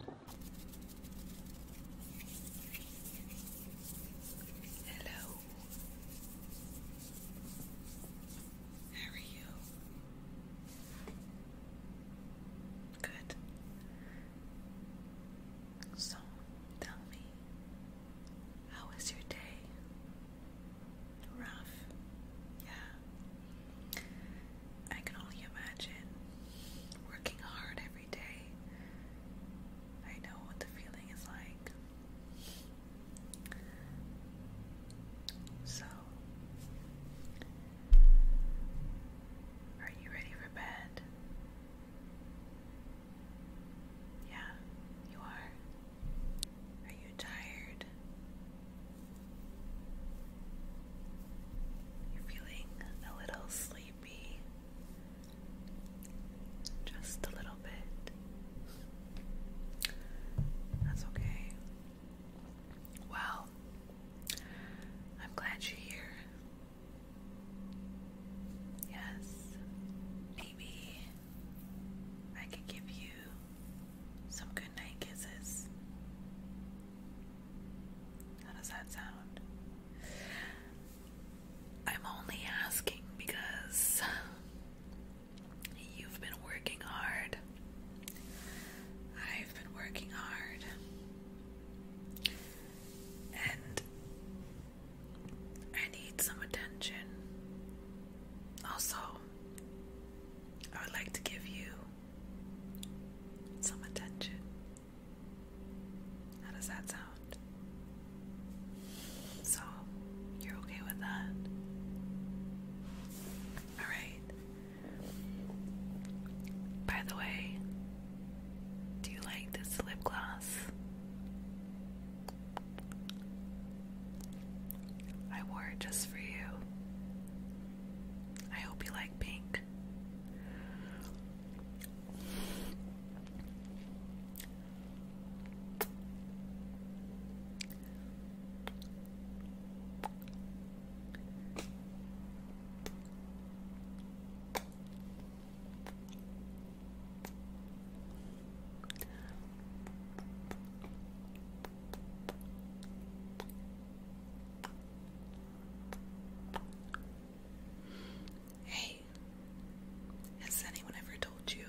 Hello. How are you? Good. So, tell me, how was your day? Rough. Yeah. I can only imagine working hard every day. I know what the feeling is like. So, are you ready for bed? Yeah, you are. Are you tired? You're feeling a little sleepy, just a little bit. That's okay. Well, I'm glad you're here. Yes, maybe I could give you some good night kisses. How does that sound? I'm only asking because you've been working hard. I've been working hard. And I need some attention. Also, I would like to give you some attention. How does that sound? So, you're okay with that? Alright. By the way, do you like this lip gloss? I wore it just for you. I hope you like pink. Hey, has anyone ever told you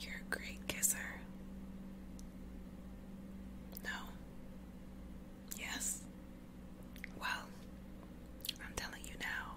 you're a great kisser? No? Yes? Well, I'm telling you now.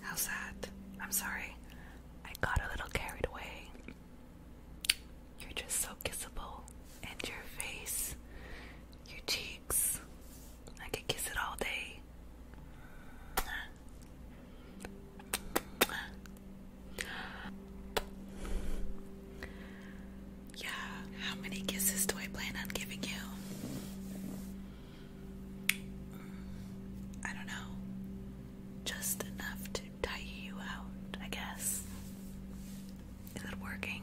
How sad. I'm sorry. I got a little carried away. You're just so kissable. And your face, your cheeks. I could kiss it all day. Yeah, how many kisses do I plan on giving you? Mm, I don't know. Just enough to tire you out, I guess. Is it working?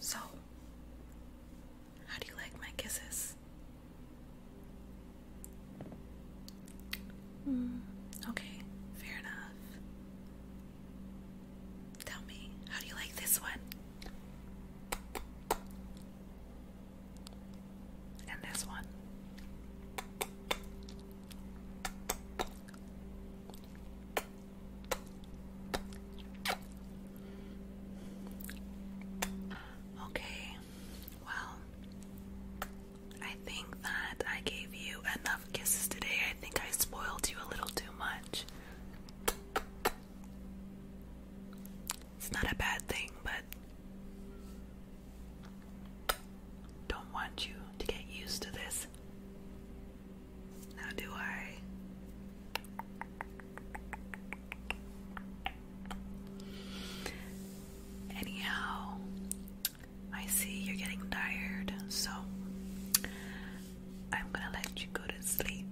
So, how do you like my kisses? Mm, okay, fair enough. Tell me, how do you like this one? And this one. Okay, well, I think that I gave you enough kisses today. I think I spoiled you a little too much. It's not a bad thing, but don't want you to get used to this. Now, do I? Anyhow, I see you're getting tired, so I'm gonna let you go to sleep.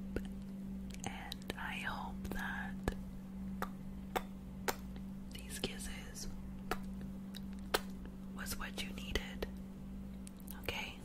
And I hope that these kisses was what you needed. Okay?